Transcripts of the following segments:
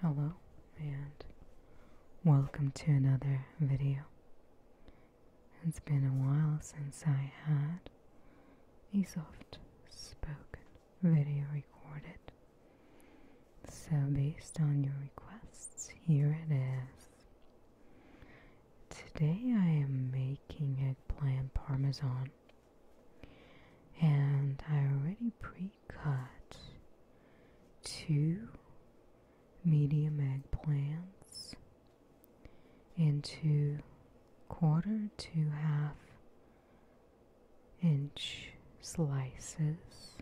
Hello and welcome to another video. It's been a while since I had a soft spoken video recorded. So based on your requests, here it is. Today I am making eggplant parmesan and I already pre-cut two medium eggplants into quarter to half inch slices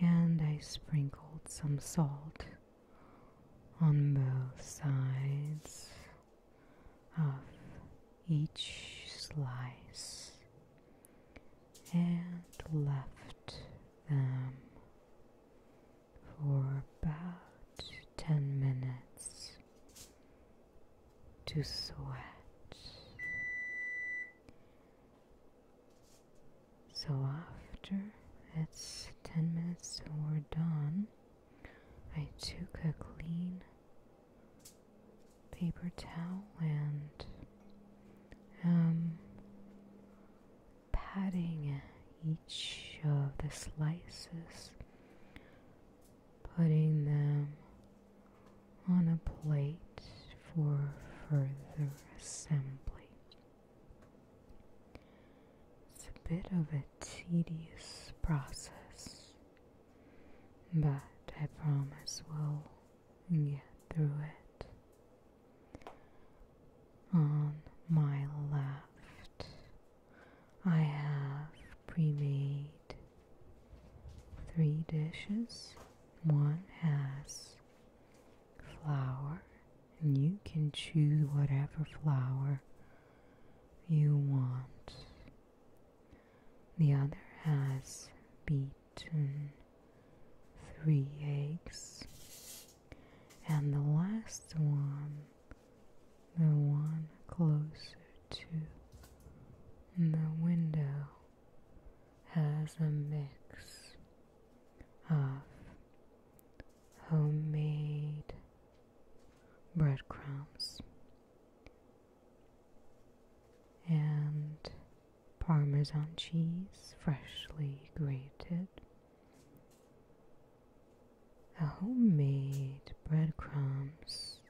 and I sprinkled some salt on both sides of each slice and left them for about 10 minutes to sweat. So after it's 10 minutes and we're done, I took a clean paper towel and um, patting each of the slices, putting them on a plate for further assembly. It's a bit of a tedious process, but I promise we'll get through it. On my left, I have pre made three dishes. One has flour, and you can choose whatever flour you want. The other has beaten three eggs. And the last one, the one closer to the window, has a mix of homemade breadcrumbs and Parmesan cheese, freshly grated, a homemade breadcrumbs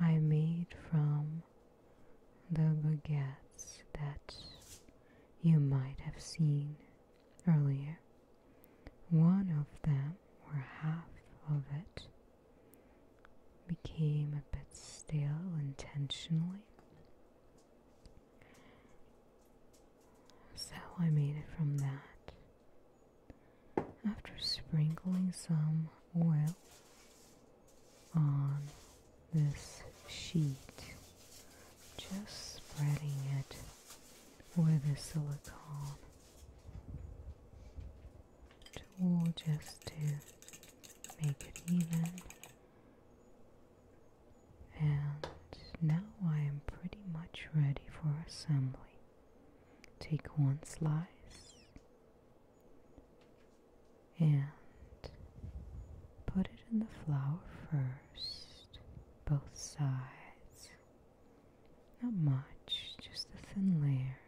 I made from the baguettes that you might have seen earlier. One of them, or half of it, became a bit stale intentionally. So I made it from that. After sprinkling some oil on this sheet, just spreading it with the silicone tool just to make it even. And now I am pretty much ready for assembly. Take one slice and put it in the flour first, both sides. Not much, just a thin layer.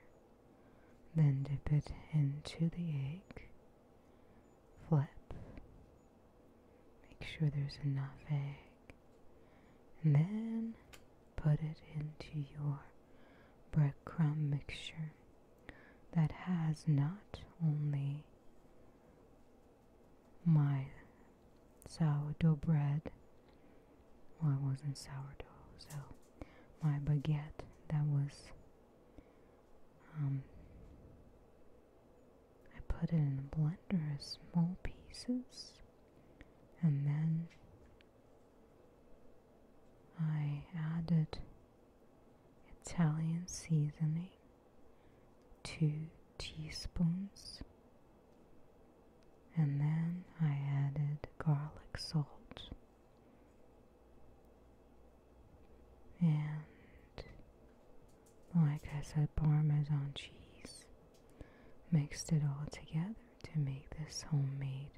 Then dip it into the egg. Flip. Make sure there's enough egg. And then put it into your breadcrumb mixture that has not only my sourdough bread. Well, it wasn't sourdough, so my baguette that was um, I put it in a blender as small pieces and then I added Italian seasoning, two teaspoons, and then I added garlic salt and like oh, I said, Parmesan cheese mixed it all together to make this homemade,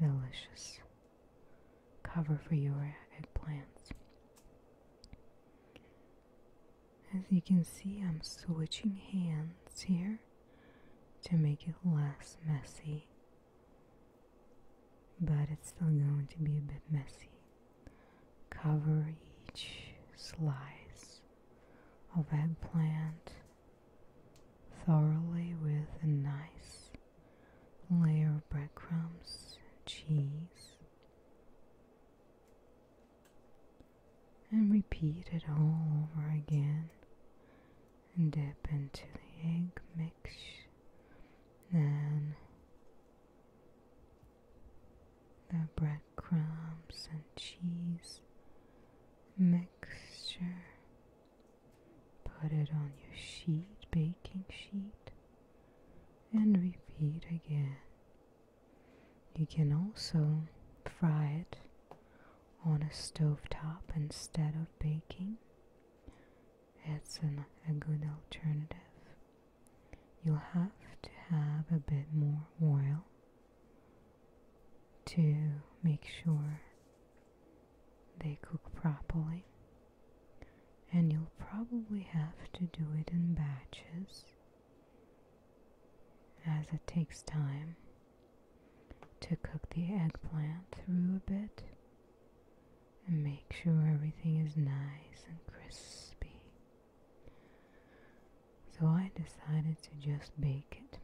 delicious cover for your eggplants. As you can see, I'm switching hands here to make it less messy but it's still going to be a bit messy. Cover each slice of eggplant thoroughly with a nice layer of breadcrumbs, cheese, and repeat it all over again and dip into the egg mix. Then the breadcrumbs and cheese mixture. Put it on your sheet, baking sheet, and repeat again. You can also fry it on a stovetop instead of baking, it's a good alternative. You'll have to have a bit more oil to make sure they cook properly, and you'll probably have to do it in batches as it takes time to cook the eggplant through a bit and make sure everything is nice and crispy. So I decided to just bake it.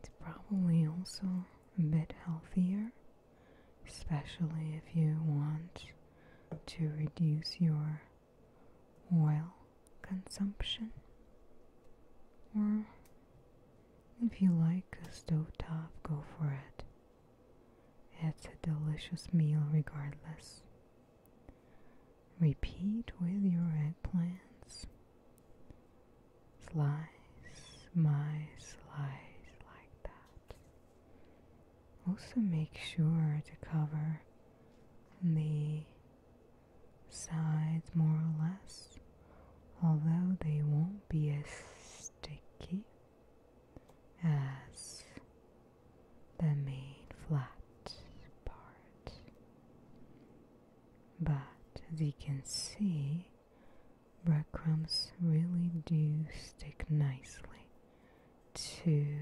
It's probably also a bit healthier, especially if you want to reduce your oil consumption, or if you like a stove top, go for it. It's a delicious meal regardless. Repeat with your eggplants. Slice my slice like that. Also make sure to cover the sides more or less, although they won't be as sticky as the main flat part. But as you can see, breadcrumbs really do stick nicely to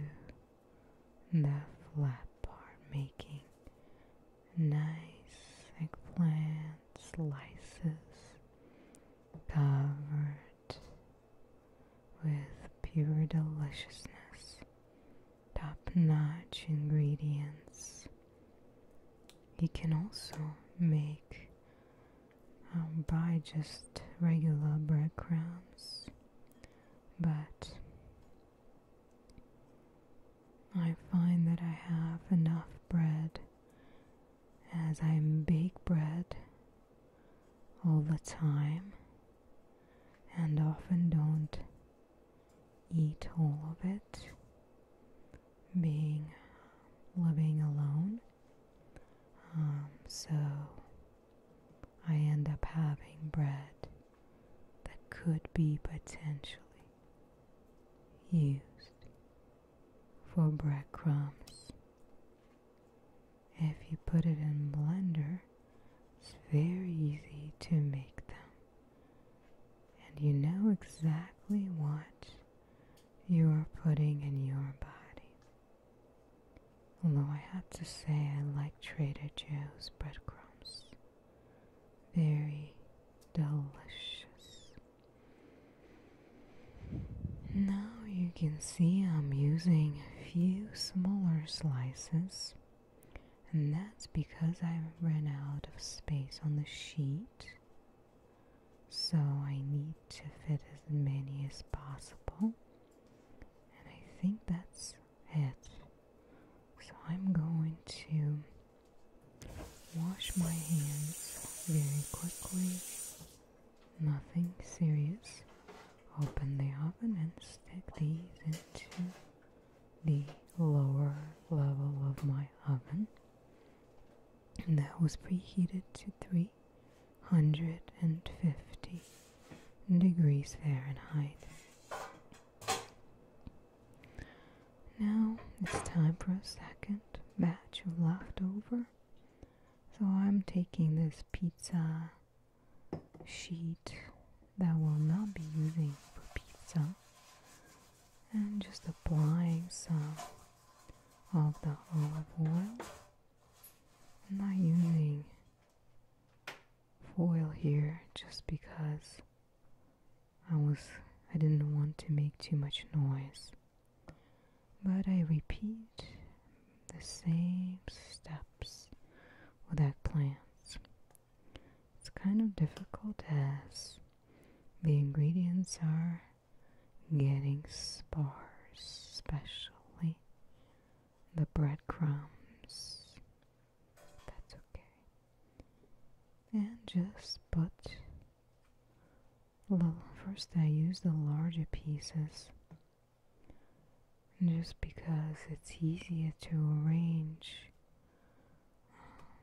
the flat part, making nice eggplant slices covered with pure deliciousness, top notch ingredients. You can also make um, by just regular breadcrumbs, but I find that I have enough bread as I bake bread all the time and often don't eat all of it. Being living alone, um, so I end up having bread that could be potentially used for breadcrumbs. If you put it in blender, it's very easy to make them. And you know exactly what you are putting in your body. Although I have to say I like Trader Joe's breadcrumbs very delicious. Now you can see I'm using a few smaller slices, and that's because I ran out of space on the sheet, so I need to fit as many as possible, and I think that's it. So I'm going to wash my hands very quickly. Nothing serious. Open the oven and stick these into the lower level of my oven. And that was preheated to 350 degrees Fahrenheit. Now it's time for a second batch of leftover. So I'm taking this pizza sheet that will not be using for pizza and just applying some of the olive oil. I'm not using foil here just because I was I didn't want to make too much noise. But I repeat the same steps with eggplants. It's kind of difficult as the ingredients are getting sparse, especially the breadcrumbs. That's okay. And just put Well, first I use the larger pieces just because it's easier to arrange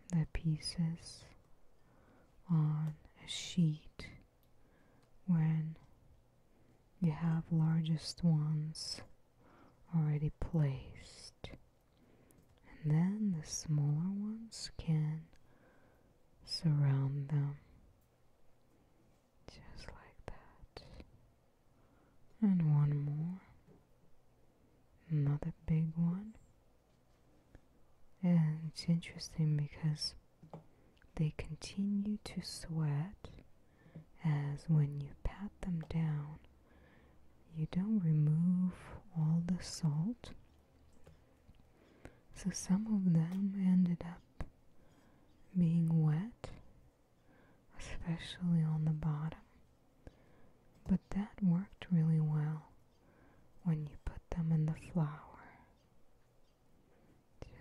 the pieces on a sheet when you have largest ones already placed and then the smaller ones can surround them just like that. And one more, another big one. And it's interesting because they continue to sweat as when you pat them down, you don't remove all the salt. So some of them ended up being wet, especially on the bottom. But that worked really well when you put them in the flour.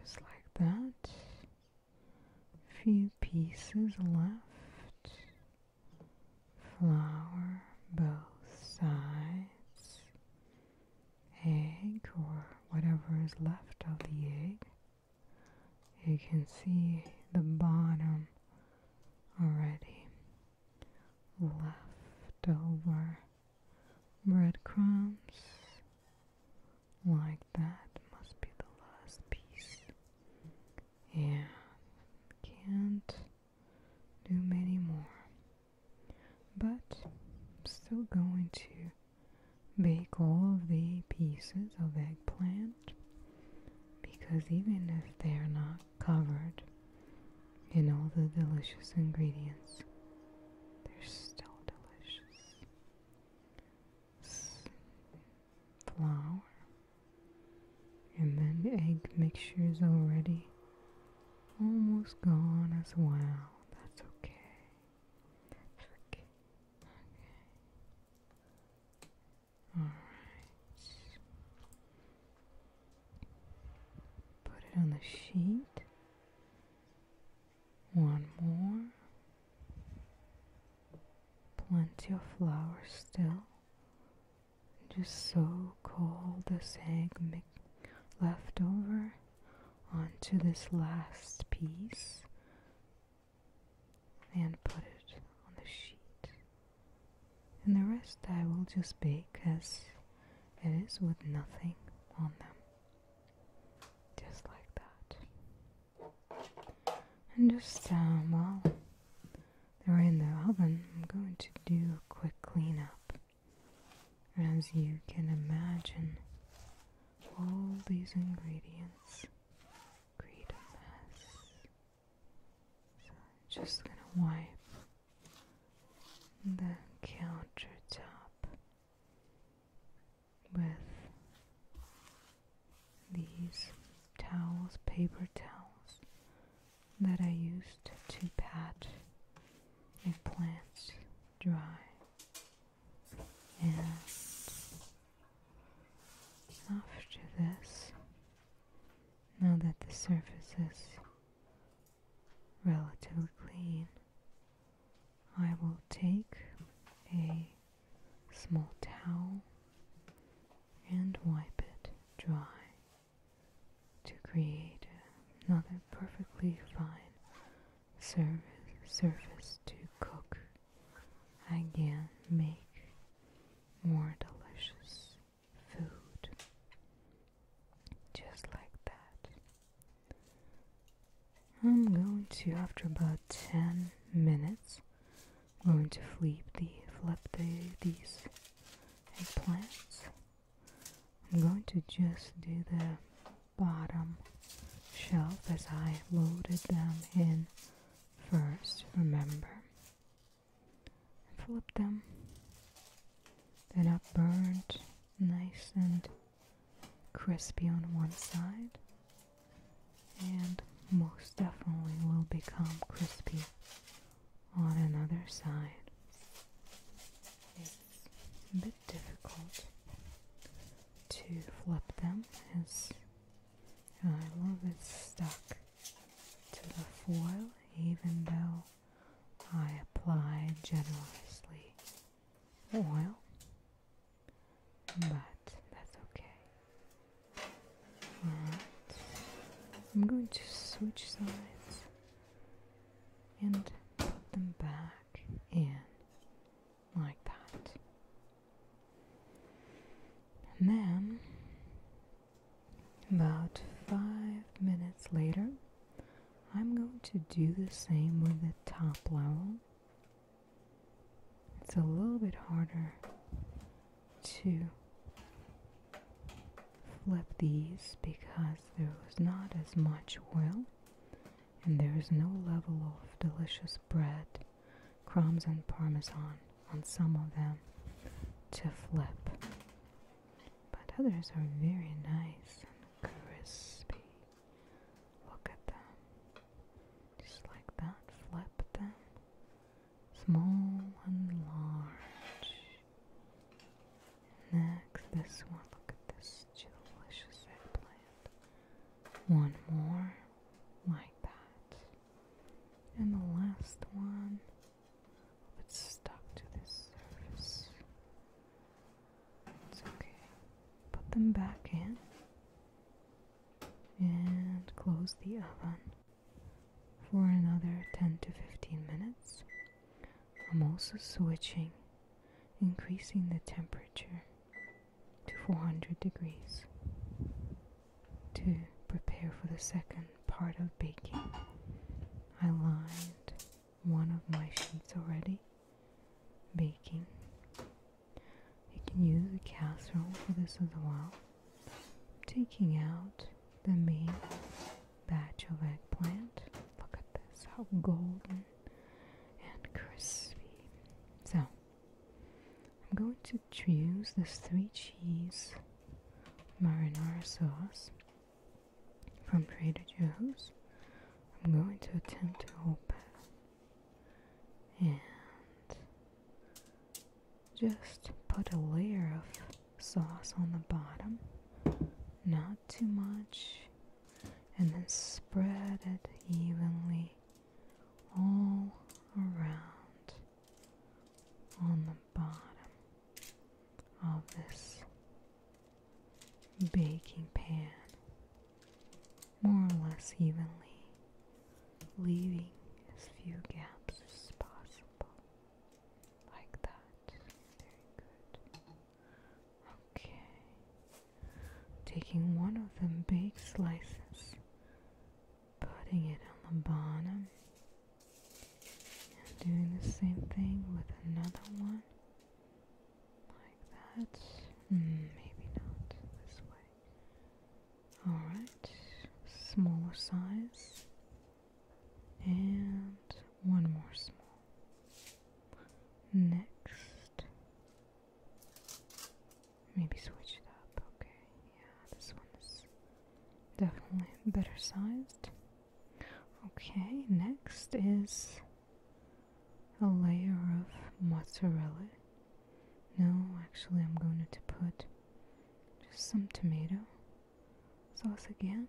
Just like that. Few pieces left flour both sides, egg or whatever is left of the egg. You can see the bottom already. Left over breadcrumbs like that must be the last piece. Yeah, can't do many more. But I'm still going to bake all the pieces of eggplant because even if they're not covered in all the delicious ingredients, they're still delicious. Flour, and then egg mixture is already almost gone as well. That's okay. That's okay. Okay. Alright. Put it on the sheet. One more. Plenty of flour still just so-called this egg left over onto this last piece and put it on the sheet. And the rest I will just bake as it is with nothing on them. Just like that. Understand um, well, they're in there. Hold I'm going to do a quick cleanup. As you can imagine, all these ingredients create a mess. So I'm just gonna wipe the countertop with these towels, paper towels that I used to pat a plant dry and after this now that the surface is relatively clean I will take a small towel and wipe it dry to create another perfectly fine surface, to cook again, make more delicious food just like that. I'm going to, after about 10 minutes, I'm going to flip the flip these eggplants. I'm going to just do the bottom shelf as I loaded them in first, remember. Flip them. Then up burnt, nice and crispy on one side. And most definitely will become crispy on another side it's a bit difficult to flip them as I love it stuck to the foil even though I apply generously oil but that's okay I'm going to switch sides and put them back in like that. And then, about five minutes later, I'm going to do the same with the top level. It's a little bit harder to flip these because there was not as much oil and there is no level of delicious bread, crumbs, and parmesan on some of them to flip. But others are very nice and crispy. Look at them. Just like that, flip them small and large. Next, this one. Look at this delicious eggplant. One more like that. And the last one, it's stuck to this surface. It's okay. Put them back in and close the oven for another 10 to 15 minutes. I'm also switching, increasing the temperature to 400 degrees to prepare for the second part of baking. I lined one of my sheets already, baking. You can use a casserole for this as well taking out the main batch of eggplant. Look at this, how golden and crispy. So, I'm going to choose this three cheese marinara sauce from Trader Joe's. I'm going to attempt to open and just put a layer of sauce on the bottom, not too much, and then spread it evenly all around on the bottom of this baking pan, more or less evenly, leaving as few gaps as possible like that. Very good. Okay. Taking one of them big slices, putting it on the bottom, and doing the same thing with another one, like that. Hmm, maybe not this way. Alright, smaller size and one more small. Next, maybe switch it up. Okay, yeah, this one's definitely better sized. Okay, next is a layer of mozzarella. No, actually, I'm going to put just some tomato sauce again.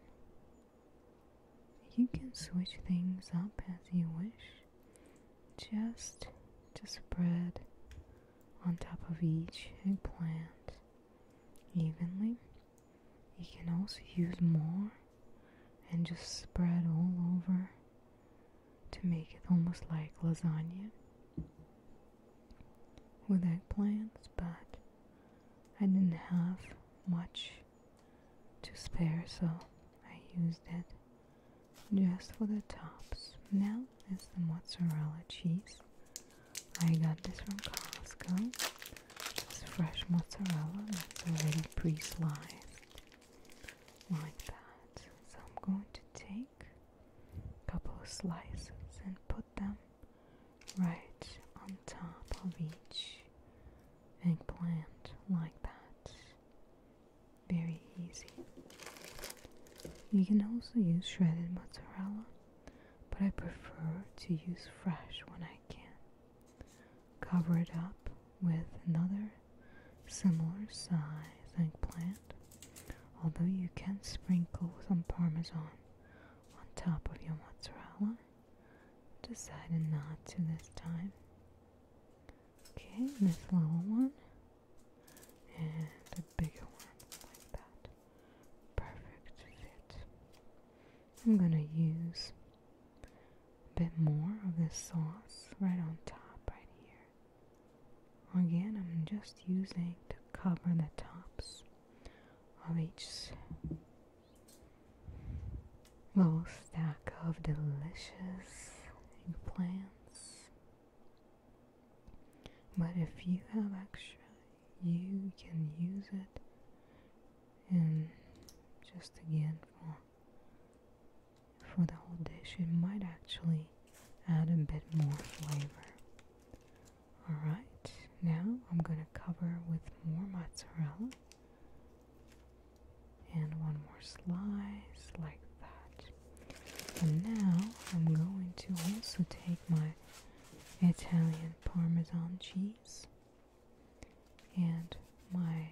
You can switch things up as you wish. Just to spread on top of each eggplant evenly. You can also use more and just spread all over to make it almost like lasagna with eggplants, but I didn't have much to spare, so I used it just for the tops. Now is the mozzarella cheese. I got this from Costco. It's fresh mozzarella that's already pre-sliced like that. So I'm going to take a couple of slices and put them right on top of each eggplant like that. Very easy. You can also use shredded mozzarella, but I prefer to use fresh when I can. Cover it up with another similar size eggplant, although you can sprinkle some parmesan on top of your mozzarella. Decided not to this time. Okay, this little one and a bigger one like that. Perfect fit. I'm gonna use a bit more of this sauce right on top, right here. Again, I'm just using to cover the tops which little stack of delicious plants. But if you have extra, you can use it and just again for for the whole dish it might actually add a bit more flavor Alright, now I'm going to cover with more mozzarella. And one more slice like that. And now I'm going to also take my Italian Parmesan cheese and my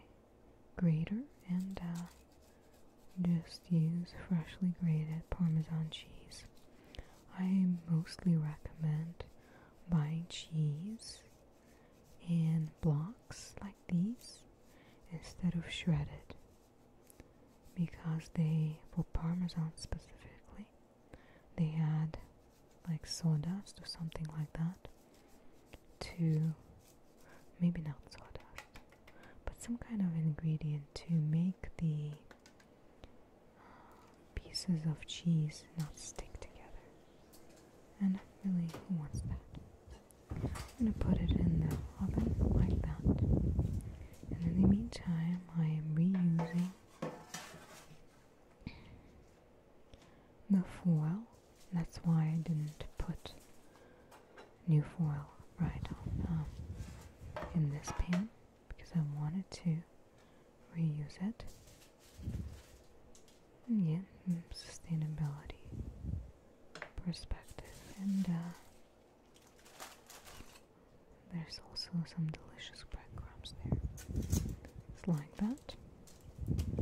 grater and uh, just use freshly grated Parmesan cheese. I mostly recommend buying cheese in blocks like these instead of shredded because they, for parmesan specifically, they add like sawdust or something like that to maybe not sawdust, but some kind of ingredient to make the pieces of cheese not stick together. And really, who wants that? I'm going to put it in the oven like that. And in the meantime, I am reusing the foil. That's why I didn't put new foil right um, in this pan because I wanted to reuse it. yeah, mm, sustainability perspective. And uh, there's also some delicious breadcrumbs there. It's like that.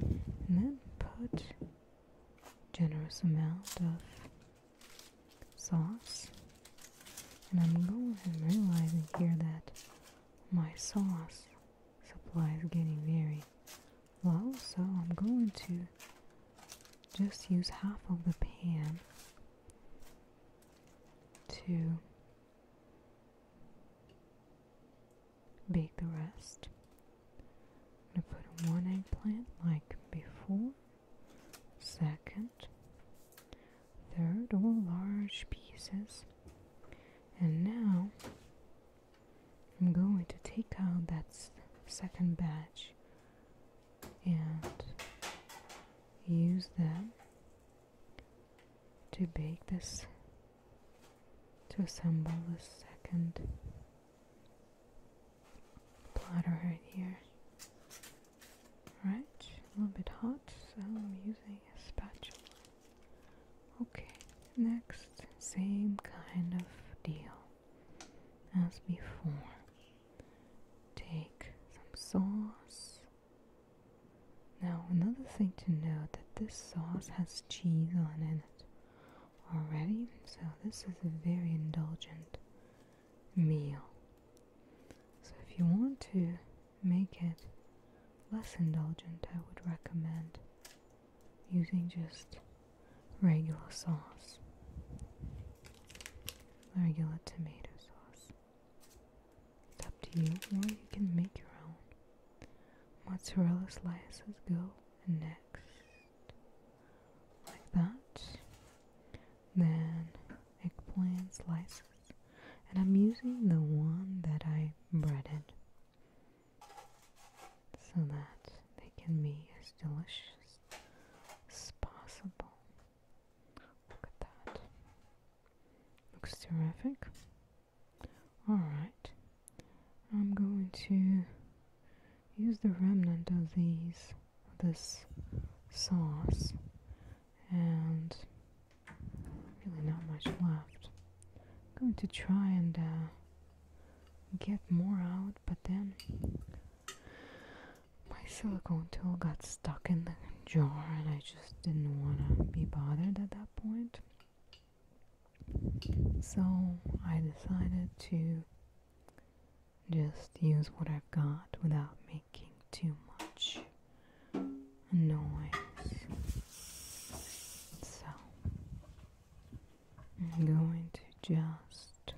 And then put generous amount of sauce and I'm going and realizing here that my sauce supply is getting very low, so I'm going to just use half of the pan to bake the rest. i going to put one eggplant like before, second, Third, or large pieces. And now I'm going to take out that second batch and use them to bake this, to assemble this second platter right here. Right, a little bit hot, so I'm using a spatula. Okay, next, same kind of deal as before. Take some sauce. Now, another thing to note that this sauce has cheese on in it already, so this is a very indulgent meal. So, if you want to make it less indulgent, I would recommend using just regular sauce, regular tomato sauce. It's up to you, or you can make your own. Mozzarella slices go next, like that. Then eggplant slices and I'm using the one that I breaded so that they can be as delicious as possible. Look at that. Looks terrific. Alright, I'm going to use the remnant of these, this sauce and Really not much left. I'm going to try and uh, get more out, but then my silicone tool got stuck in the jar and I just didn't want to be bothered at that point. So I decided to just use what I've got without me making too much noise. So I'm going to just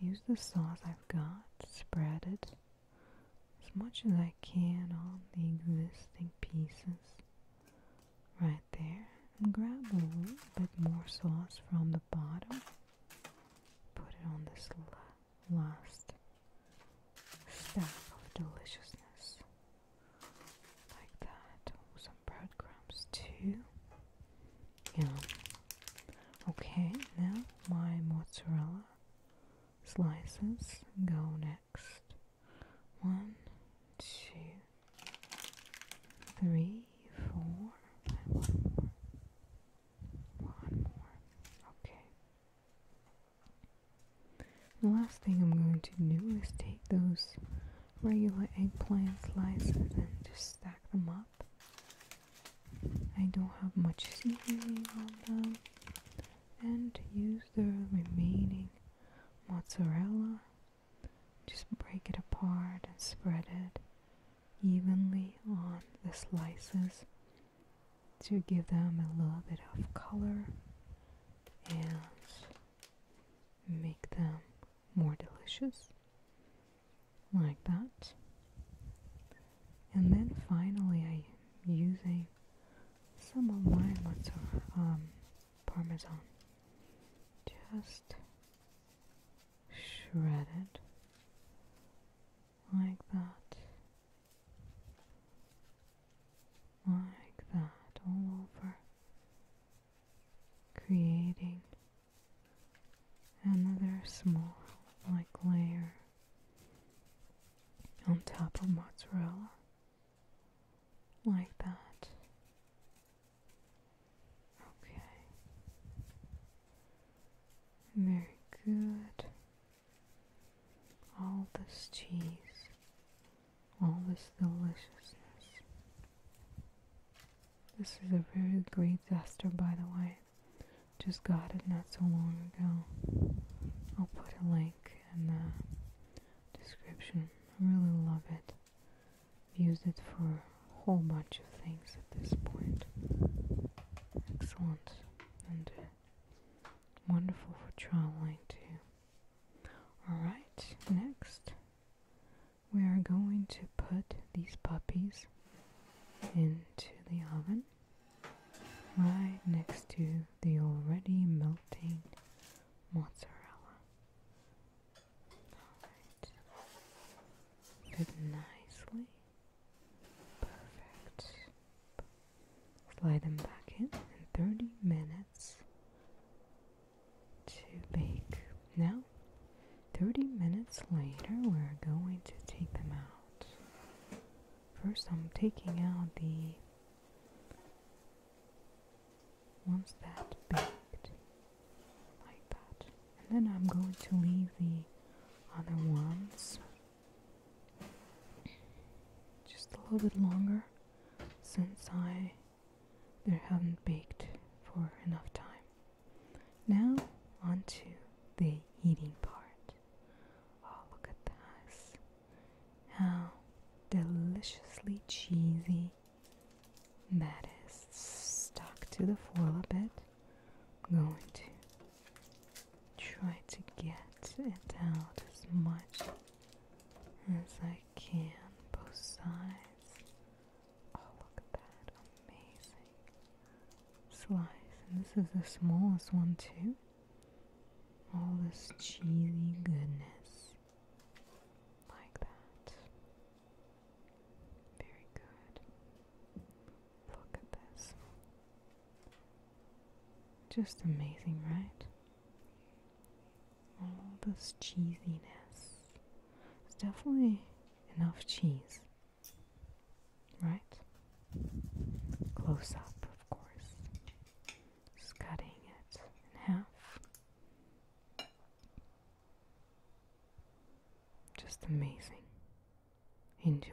use the sauce I've got, spread it as much as I can on the existing pieces right there, and grab a little bit more sauce from the bottom, put it on this last stack of deliciousness. Like that. Some breadcrumbs too. Yeah. Okay, now my mozzarella slices go next. One, two, three, four, more. One more. Okay. The last thing I'm going to do is take those regular eggplant slices and just stack them up. I don't have much seasoning on them. And to use the remaining mozzarella. Just break it apart and spread it evenly on the slices to give them a little bit of color and make them more delicious like that and then finally i use a some of my mozzarella um, parmesan just shredded like that, like that, all over, creating another small, like, layer on top of mozzarella, like that. Okay, very good all this cheese, all this deliciousness. This is a very great duster, by the way. Just got it not so long ago. I'll put a link in the description. I really love it. i used it for a whole bunch of things at this point. Excellent. And Wonderful for traveling too. Alright, next we are going to put these puppies into the oven right next to the already melting mozzarella. Alright. Fit nicely. Perfect. Slide them back in in 30 minutes to bake. Now, 30 minutes later, we're going to take them out. First, I'm taking out the ones that baked like that, and then I'm going to leave the other ones just a little bit longer since I there haven't baked for enough time. Now on to the eating part. Oh look at this. How deliciously cheesy that is stuck to the foil a bit. going to try to get it out as much as I can, both sides. Oh, look at that. Amazing. Slice. And this is the smallest one, too. All this cheesy goodness. Like that. Very good. Look at this. Just amazing, right? All this cheesiness. It's definitely enough cheese. Right? Close up, of course. Just cutting it in half. Just amazing. Enjoy.